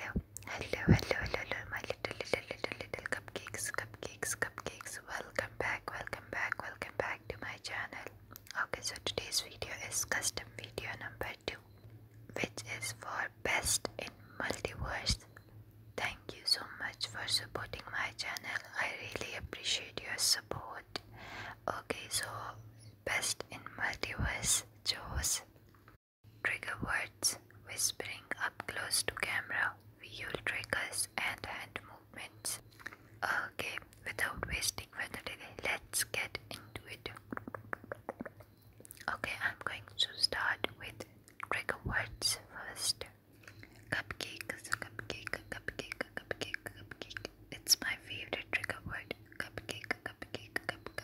Hello, hello, hello, hello, my little, little, little, little cupcakes, cupcakes, cupcakes. Welcome back, welcome back, welcome back to my channel. Okay, so today's video is custom video number two, which is for best in multiverse. Thank you so much for supporting my channel. I really appreciate your support. Okay, so best in multiverse chose Trigger words, whispering up close to camera, visual triggers and hand movements. Okay, without wasting further delay, let's get into it. Okay, I'm going to start with trigger words first. Cupcake, cupcake, cupcake, cupcake, cupcake. It's my favorite trigger word. Cupcake, cupcake, cupcake,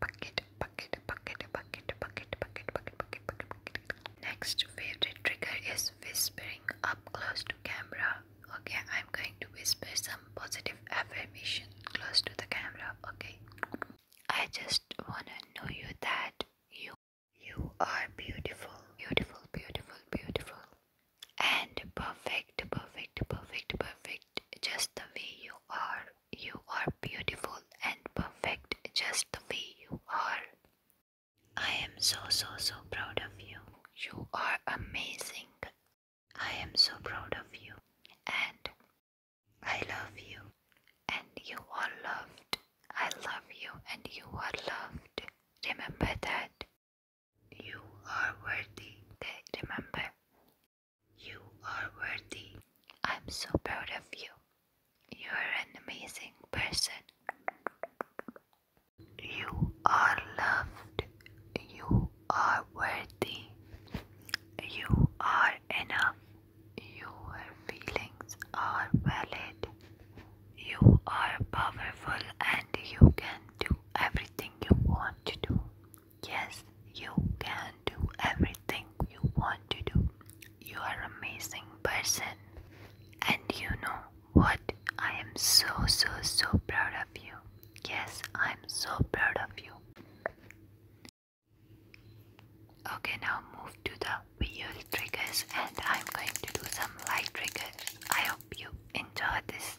bucket, bucket, bucket, bucket, bucket, bucket, bucket, bucket, bucket. Next favorite trigger is whispering up close to camera. Okay, I'm going to whisper some positive affirmation close to the camera. Okay. I just wanna know you that you you are beautiful, beautiful, beautiful, beautiful. And perfect, perfect, perfect, perfect. Just the way you are. You are beautiful and perfect just the way you are. I am so, so, so proud of you. You are amazing. I am so proud of you. And I love you. And you are loved. I love you and you are loved. Remember that. You are worthy. Okay, remember. You are worthy. I'm so proud of you. You're an amazing person. You are loved. You are worthy. You are enough. Your feelings are valid. You are powerful and you can do everything you want to do. Yes, you can do everything you want to do. You are amazing person. And you know what? I am so, so, so proud of you. Yes, I'm so proud of you. Okay, now move to the wheel triggers, and I'm going to do some light triggers. I hope you enjoy this.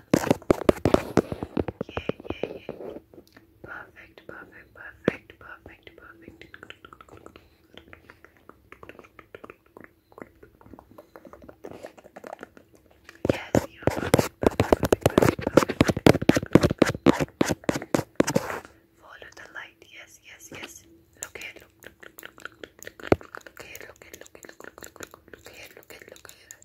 Yeah, yeah, yeah. Perfect, perfect, perfect, perfect, perfect. Yes, Follow the light. Yes, yes, yes. Look here, look, look, look, look, look, look, look, look, look, look, look, look, look, look, look, look,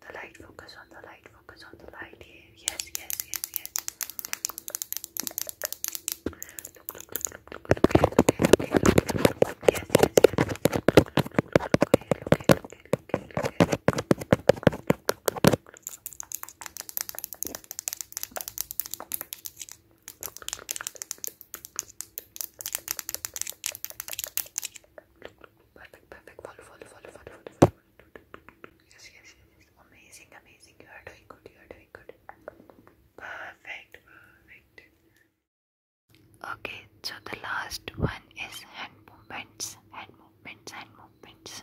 the light, focus on the light, focus on the light Yes, yes, yes, yes. Look, look, look, look, look, look, here, look, here, look, here, look, here, look, look, yes, yes, yes. Look, look, look, look, look, look, look here, look here, look here, look here, look here. Perfect, perfect. Follow, follow, follow, follow, follow, follow. Yes, yes, yes. Amazing, amazing. You are doing good. You are doing good. Perfect, perfect. Okay, so the last one is hand movements. Hand movements, hand movements.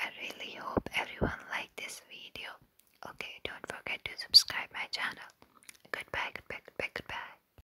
I really hope everyone liked this video. Okay, don't forget to subscribe my channel. Goodbye, goodbye, goodbye, goodbye.